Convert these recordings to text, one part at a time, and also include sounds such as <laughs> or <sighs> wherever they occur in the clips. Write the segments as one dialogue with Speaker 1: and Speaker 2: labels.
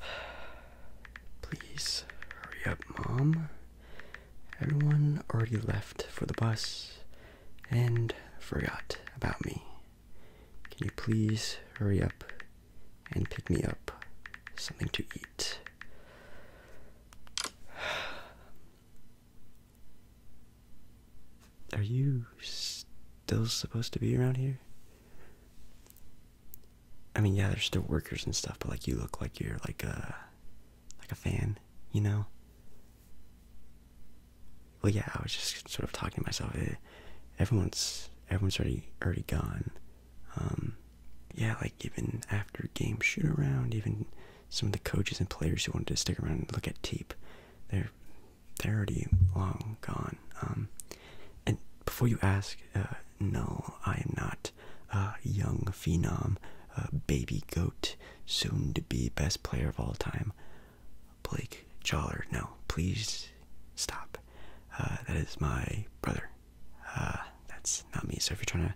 Speaker 1: <sighs> Please hurry up, Mom. Everyone already left for the bus and forgot about me. Can you please hurry up and pick me up something to eat? <sighs> Are you still supposed to be around here? I mean, yeah, there's still workers and stuff, but like you look like you're like a uh, like a fan, you know. Well, yeah, I was just sort of talking to myself. everyone's everyone's already already gone. Um, yeah, like even after game shoot around, even some of the coaches and players who wanted to stick around and look at tape, they're they're already long gone. Um, and before you ask, uh, no, I am not a young phenom, uh, baby goat, soon to be best player of all time, Blake Joller. No, please stop. Uh, that is my brother. Uh, that's not me. So if you're trying to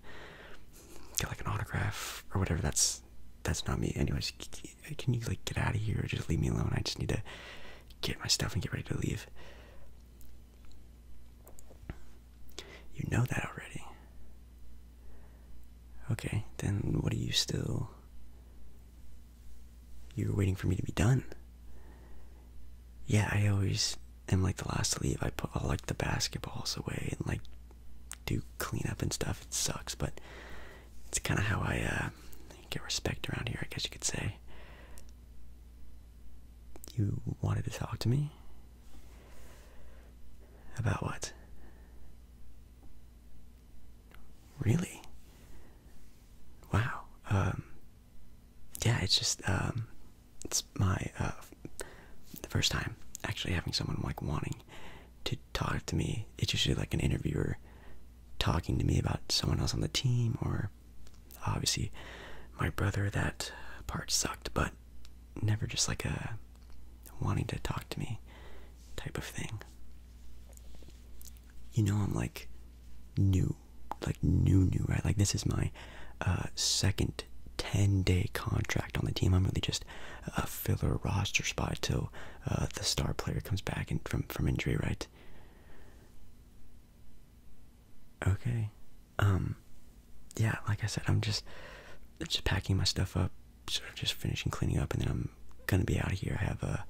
Speaker 1: get like an autograph or whatever, that's that's not me. Anyways, can you like get out of here or just leave me alone? I just need to get my stuff and get ready to leave. You know that already. Okay, then what are you still. You're waiting for me to be done. Yeah, I always am like the last to leave. I put all like the basketballs away and like do cleanup and stuff. It sucks, but it's kind of how I uh, get respect around here, I guess you could say. You wanted to talk to me? About what? Really? Wow. Um, yeah, it's just, um, it's my, uh, the first time actually having someone like wanting to talk to me. It's usually like an interviewer talking to me about someone else on the team or obviously my brother that part sucked but never just like a wanting to talk to me type of thing you know i'm like new like new new right like this is my uh, second 10 day contract on the team i'm really just a filler roster spot till uh, the star player comes back and from from injury right Okay. Um yeah, like I said, I'm just just packing my stuff up, sort of just finishing cleaning up and then I'm gonna be out here. I have a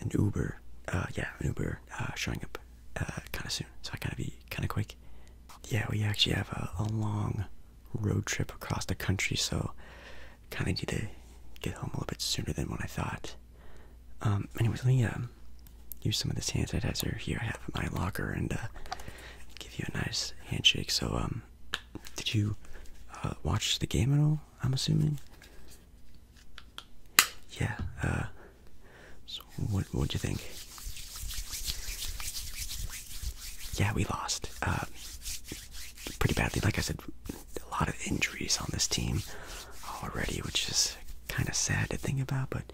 Speaker 1: an Uber. Uh, yeah, an Uber uh, showing up uh, kinda soon. So I gotta be kinda quick. Yeah, we actually have a long road trip across the country, so kind of need to get home a little bit sooner than what I thought. Um, anyways, let me um, use some of this hand sanitizer here I have in my locker and uh, give you a nice handshake. So, um, did you uh, watch the game at all? I'm assuming. Yeah. Uh, so, what what'd you think? Yeah, we lost pretty badly. Like I said, a lot of injuries on this team already, which is kind of sad to think about, but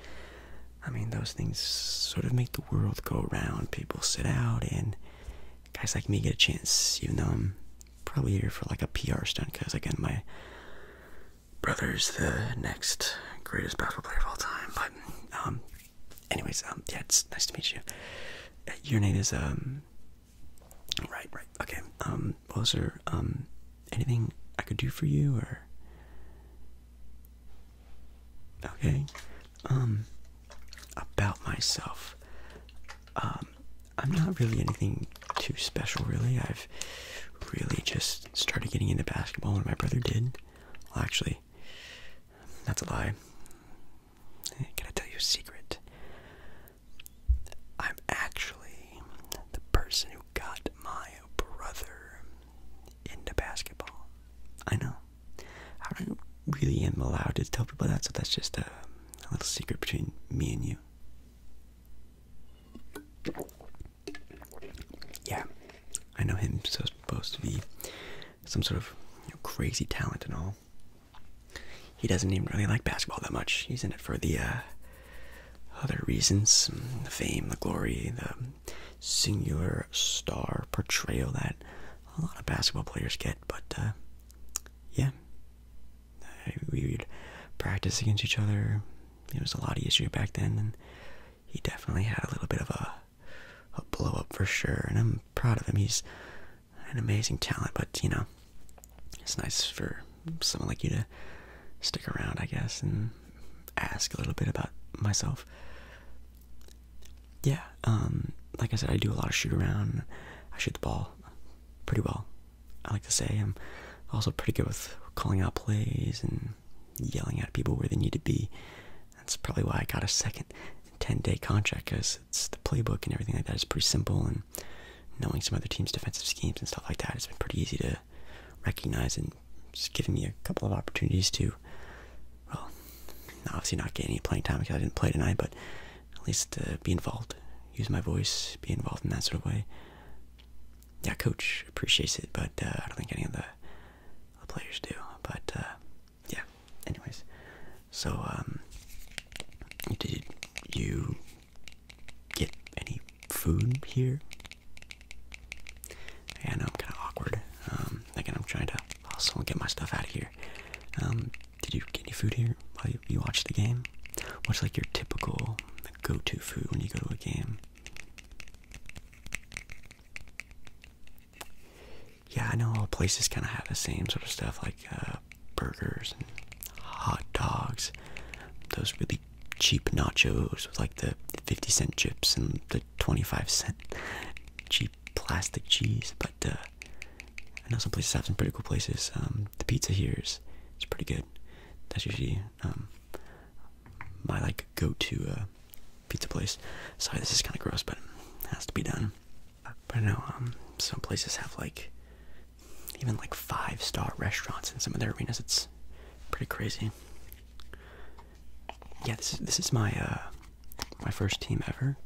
Speaker 1: I mean, those things sort of make the world go around. People sit out, and guys like me get a chance, even though I'm probably here for like a PR stunt, because again, my brother's the next greatest basketball player of all time. But, um, anyways, um, yeah, it's nice to meet you. Uh, your name is, um, Right, right. Okay. Um, well, there um, anything I could do for you, or? Okay. Um, about myself. Um, I'm not really anything too special, really. I've really just started getting into basketball when my brother did. Well, actually, that's a lie. Can I tell you a secret? I'm actually the person who got my brother into basketball. I know. I really am allowed to tell people that, so that's just a, little secret between me and you. Yeah, I know him so supposed to be some sort of crazy talent and all. He doesn't even really like basketball that much. He's in it for the uh, other reasons the fame, the glory, the singular star portrayal that a lot of basketball players get. But uh, yeah, we would practice against each other. It was a lot of issues back then, and he definitely had a little bit of a, a blow up for sure. And I'm proud of him. He's an amazing talent, but you know, it's nice for someone like you to stick around, I guess, and ask a little bit about myself. Yeah, um, like I said, I do a lot of shoot around. I shoot the ball pretty well. I like to say I'm also pretty good with calling out plays and yelling at people where they need to be. That's probably why I got a second 10 day contract because it's the playbook and everything like that is pretty simple and knowing some other teams' defensive schemes and stuff like that it has been pretty easy to recognize and just giving me a couple of opportunities to well obviously not get any playing time because I didn't play tonight but at least uh, be involved use my voice be involved in that sort of way yeah coach appreciates it but uh, I don't think any of the, players do but uh, yeah. Anyways, so um, did you get any food here? I know I'm kind of awkward. Um, again, I'm trying to also get my stuff out of here. Um, did you get any food here while you, watch the game? What's like your typical go-to food when you go to a game? Yeah, I know all places kind of have the same sort of stuff like uh, burgers and hot dogs. Those really cheap nachos with like the 50 cent chips and the 25 cent cheap plastic cheese. But uh, I know some places have some pretty cool places. Um, the pizza here is it's pretty good. That's usually um, my like go to a pizza place. Sorry, this is kind of gross, but it has to be done. But I know um, some places have like even like five star restaurants in some of their arenas. It's pretty crazy. Yeah, this is this is my uh, my first team ever.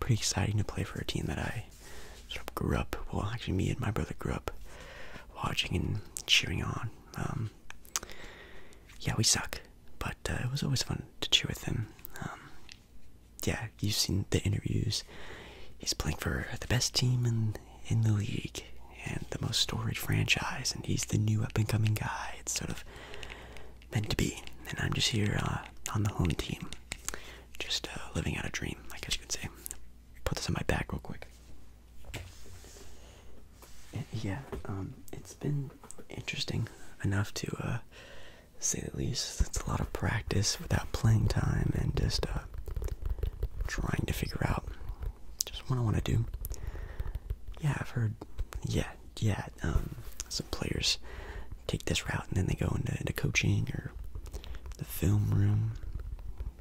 Speaker 1: Pretty exciting to play for a team that I sort of grew up. Well, actually, me and my brother grew up watching and cheering on. Um, yeah, we suck. But uh, it was always fun to cheer with him. Um, yeah, you've seen the interviews. He's playing for the best team in in the league and the most storied franchise, and he's the new up and coming guy. It's sort of meant to be, and I'm just here uh, on the home team, just uh, living out a dream, I guess you could say. Put this on my back real quick yeah, um, it's been interesting enough to uh, say the least. It's a lot of practice without playing time and just uh, trying to figure out just what I want to do. Yeah, I've heard. Yeah, yeah. Um, some players take this route and then they go into, into coaching or the film room.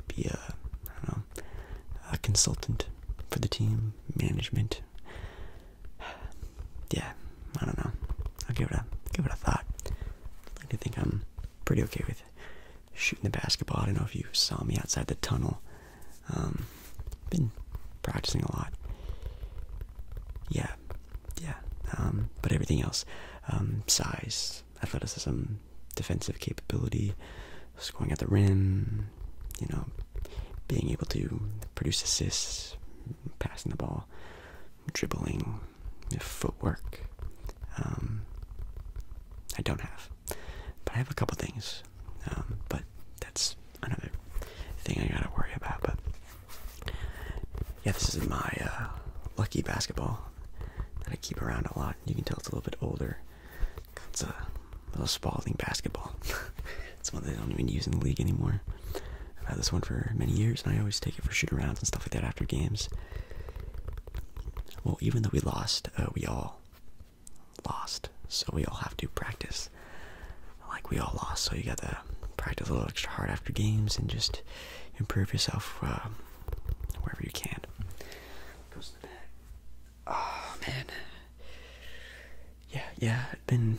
Speaker 1: Be a consultant for the team management yeah, I don't know. I'll give it a give it a thought. I think I'm pretty okay with shooting the basketball. I don't know if you saw me outside the tunnel. Um, been practicing a lot. Yeah, yeah. Um, but everything else, um, size, athleticism, defensive capability, scoring at the rim, you know, being able to produce assists, passing the ball, dribbling, footwork. Um, I don't have, but I have a couple things. Um, but that's another thing I gotta worry about. But yeah, this is my uh, lucky basketball that I keep around a lot. You can tell it's a little bit older. It's a little Spalding basketball. <laughs> it's one they don't even use in the league anymore. I've had this one for many years, and I always take it for shoot-arounds and stuff like that after games. Well, even though we lost, uh, we all lost, so we all have to practice. Like we all lost, so you gotta practice a little extra hard after games and just improve yourself uh, wherever you can oh man yeah yeah been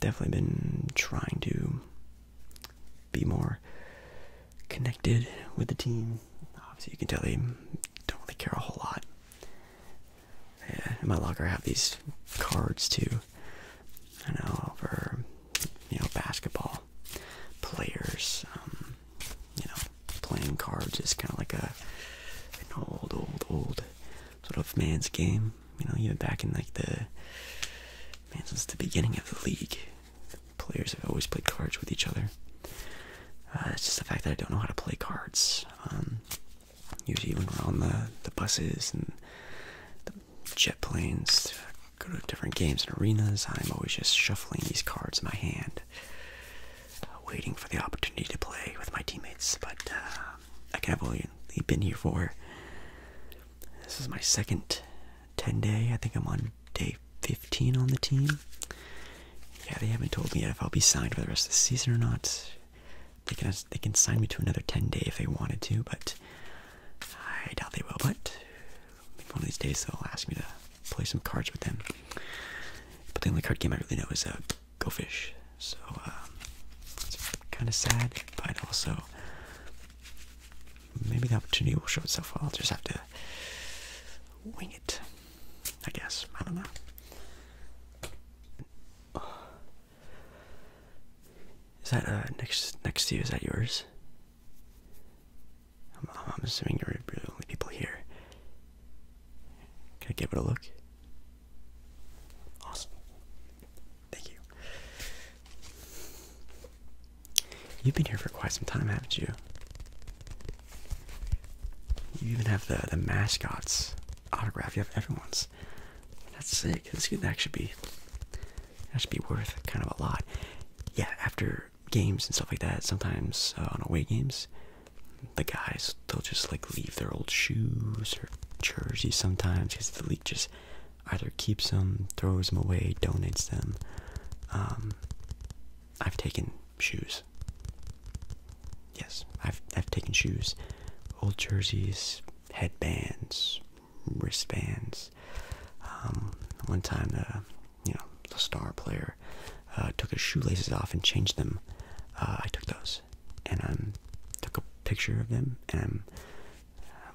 Speaker 1: definitely been trying to be more connected with the team obviously you can tell they don't really care a whole lot yeah, in my locker I have these cards too I know for you know basketball players um, you know playing cards is kind of like a an old, old, old sort of man's game. You know, even back in like the man since the beginning of the league, players have always played cards with each other. Uh, it's just the fact that I don't know how to play cards. Um, usually, when we're on the the buses and the jet planes, go to different games and arenas, I'm always just shuffling these cards in my hand waiting for the opportunity to play with my teammates. But uh, I can not have only been here for this is my second 10 day. I think I'm on day 15 on the team. Yeah, they haven't told me yet if I'll be signed for the rest of the season or not. They can they can sign me to another 10 day if they wanted to, but I doubt they will. But one of these days they'll ask me to play some cards with them. But the only card game I really know is a uh, Go Fish. So um, it's kind of sad, but also maybe the opportunity will show itself. I'll just have to wing it, I guess. I don't know. Is that uh, next next to you? Is that yours? I'm, assuming you're the only people here. Can I give it a look? Awesome. Thank you. You've been here for quite some time, haven't you? You even have the, the mascots autograph. You have everyone's. That's sick. This could actually be that should be worth kind of a lot. Yeah, after games and stuff like that, sometimes uh, on away games, the guys they'll just like leave their old shoes or jerseys sometimes because the league just either keeps them, throws them away, donates them. Um, I've taken shoes. Yes, I've I've taken shoes, old jerseys, headbands, wristbands. Um, one time the uh, you know, the star player uh, took his shoelaces off and changed them. Uh, I took those and I um, took a picture of them and I'm,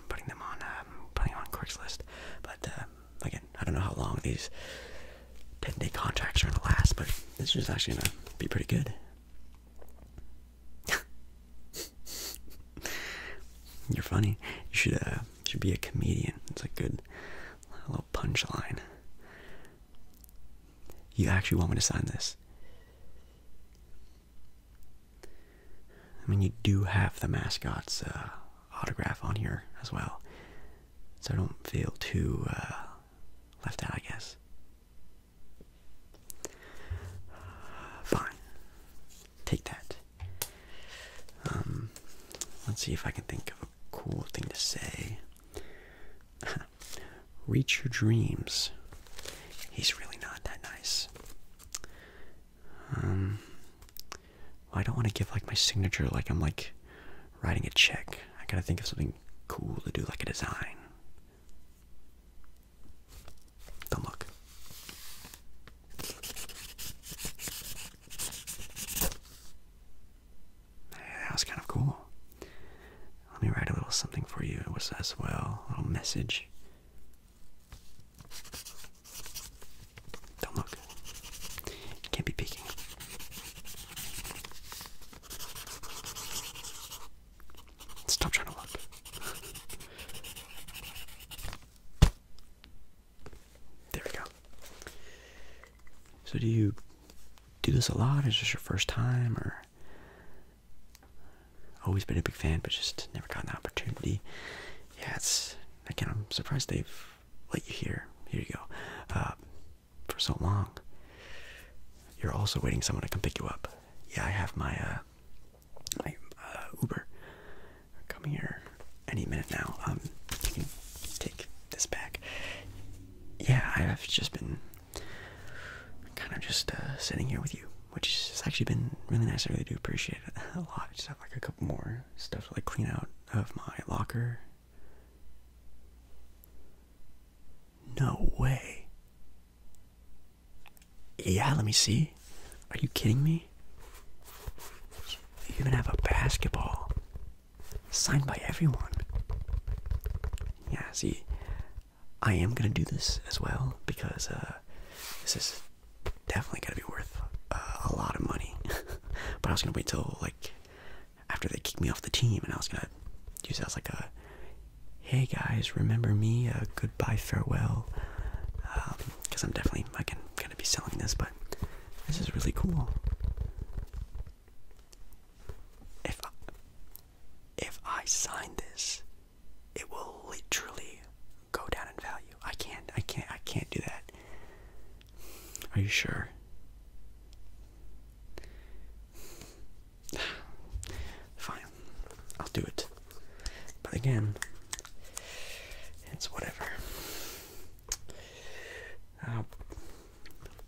Speaker 1: putting them on, um, putting on Craigslist. But uh, again, I don't know how long these 10 day contracts are going to last, but this is actually going to be pretty good. <laughs> You're funny. You should should be a comedian. It's a good a little punchline. You actually want me to sign this? I mean, you do have the mascot's uh, autograph on here as well, so I don't feel too uh, left out, I guess. Fine. Take that. Um, let's see if I can think of cool thing to say. <laughs> Reach your dreams. He's really not that nice. Um, I don't want to give like my signature like I'm like writing a check. I gotta think of something cool to do, like a design. Don't look. That was kind of cool. Let me write a little something for you. It was as well a little message. Don't look. Can't be peeking. Stop trying to look. There we go. So do you do this a lot? Is this your first time or always been a big fan but just never got the opportunity? Yeah, it's again I'm surprised they've let you here. Here you go. Uh, for so long. You're also waiting someone to come pick you up. Yeah, I have my uh, my uh, Uber coming here any minute now. Um, you can take this back. Yeah, I've just been kind of just uh, sitting here with you, which has actually been really nice. I really do appreciate it <laughs> a lot. Just have like a couple more stuff to like clean out of my locker. No way. Yeah, let me see. Are you kidding me? You even have a basketball signed by everyone. Yeah, see, I am gonna do this as well because uh, this is definitely gonna be worth uh, a lot of money. <laughs> but I was gonna wait until like after they kicked me off the team, and I was gonna use that as like a uh, hey guys, remember me? Uh, goodbye, farewell. Um, because I'm definitely I'm gonna be selling this, but this is really cool. If I, if I sign this, it will literally go down in value. I can't, I can't, I can't do that. Are you sure? <sighs> Fine, I'll do it. But again, it's whatever. I'll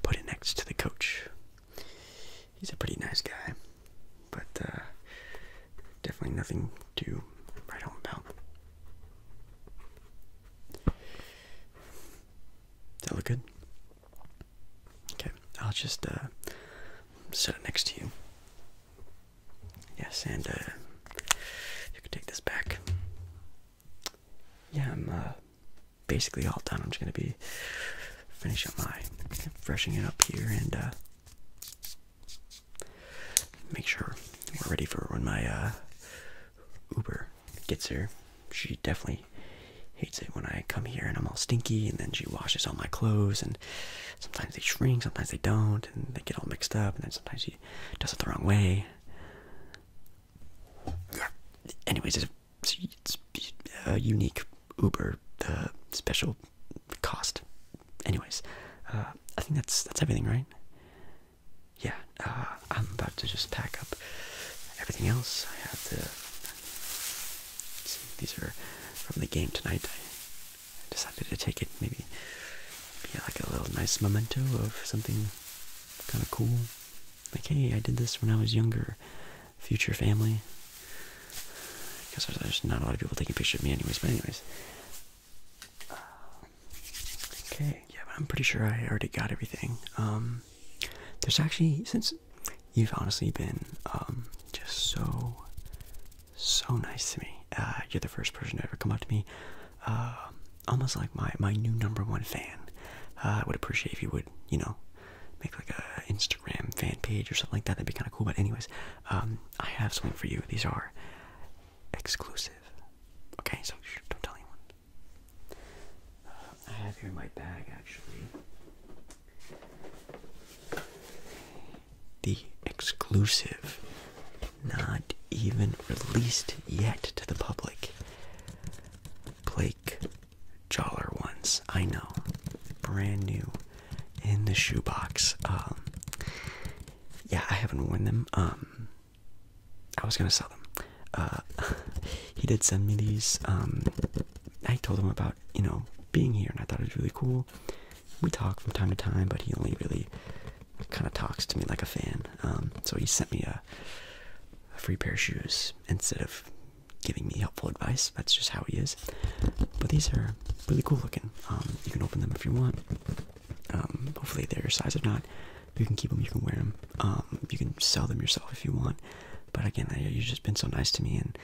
Speaker 1: put it next to the coach. He's a pretty nice guy, but uh, definitely nothing to write home about. Does that look good? Okay, I'll just uh, set it next to you. Yes, and uh, you can take this back. Yeah, I'm uh, basically all done. I'm just gonna be finishing up my freshening it up here and uh, make sure we're ready for when my uh, Uber gets here. She definitely hates it when I come here and I'm all stinky, and then she washes all my clothes and sometimes they shrink, sometimes they don't, and they get all mixed up, and then sometimes he does it the wrong way. Anyways, it's, a uh, unique Uber uh, special cost. Anyways, uh, I think that's that's everything, right? Yeah, I'm about to just pack up everything else. I have to. See, these are from the game tonight. I decided to take it maybe be like a little nice memento of something kind of cool. Like, hey, I did this when I was younger. Future family. Because there's not a lot of people taking pictures of me, anyways. But anyways. okay. Yeah, I'm pretty sure I already got everything. Um, there's actually since you've honestly been um, just so so nice to me. Uh, you're the first person to ever come up to me, uh, almost like my my new number one fan. Uh, I would appreciate if you would, you know, make like a Instagram fan page or something like that. That'd be kind of cool. But anyways, um, I have something for you. These are exclusive. Okay, so don't tell anyone. I have here in my bag actually the exclusive, not even released yet to the public. Blake Jaller ones, I know, brand new in the shoebox. Um, yeah, I haven't worn them. Um, I was gonna sell them. Uh, <laughs> he did send me these. Um, I told him about you know being here, and I thought it was really cool we talk from time to time, but he only really kind of talks to me like a fan. Um, so he sent me a, free pair of shoes instead of giving me helpful advice. That's just how he is. But these are really cool looking. Um, you can open them if you want. Um, hopefully they're your size or not. You can keep them. You can wear them. you can sell them yourself if you want. But again, you've just been so nice to me and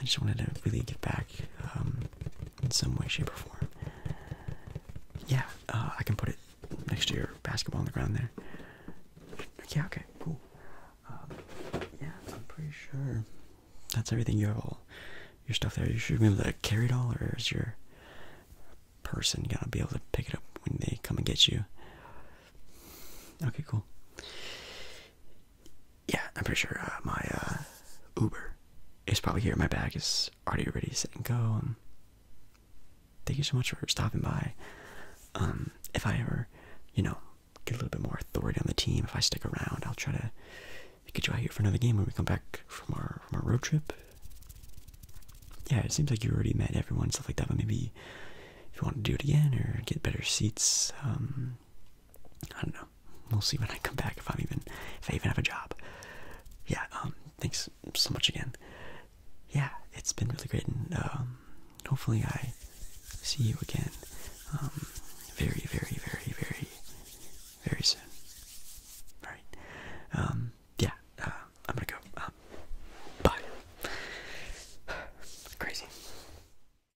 Speaker 1: I just wanted to really get back um, in some way, shape, or form. Yeah, uh, I can put it next to your basketball on the ground there. Yeah, okay, cool. Um, yeah, I'm pretty sure that's everything. You have all your stuff there. You should be able to carry it all, or is your person gonna be able to pick it up when they come and get you? Okay, cool yeah, I'm pretty sure uh, my uh, Uber is probably here. My bag is already ready, to set and go. Um, thank you so much for stopping by. Um, if I ever, you know, get a little bit more authority on the team, if I stick around, I'll try to get you out here for another game when we come back from our from our road trip. Yeah, it seems like you already met everyone, stuff like that. But maybe if you want to do it again or get better seats, um, I don't know. We'll see when I come back if I'm even if I even have a job. Yeah. Um. Thanks so much again. Yeah, it's been really great, and um, hopefully I see you again, um, very, very, very, very, very soon. All right. Um. Yeah. Uh, I'm gonna go. Um, bye. <sighs> Crazy.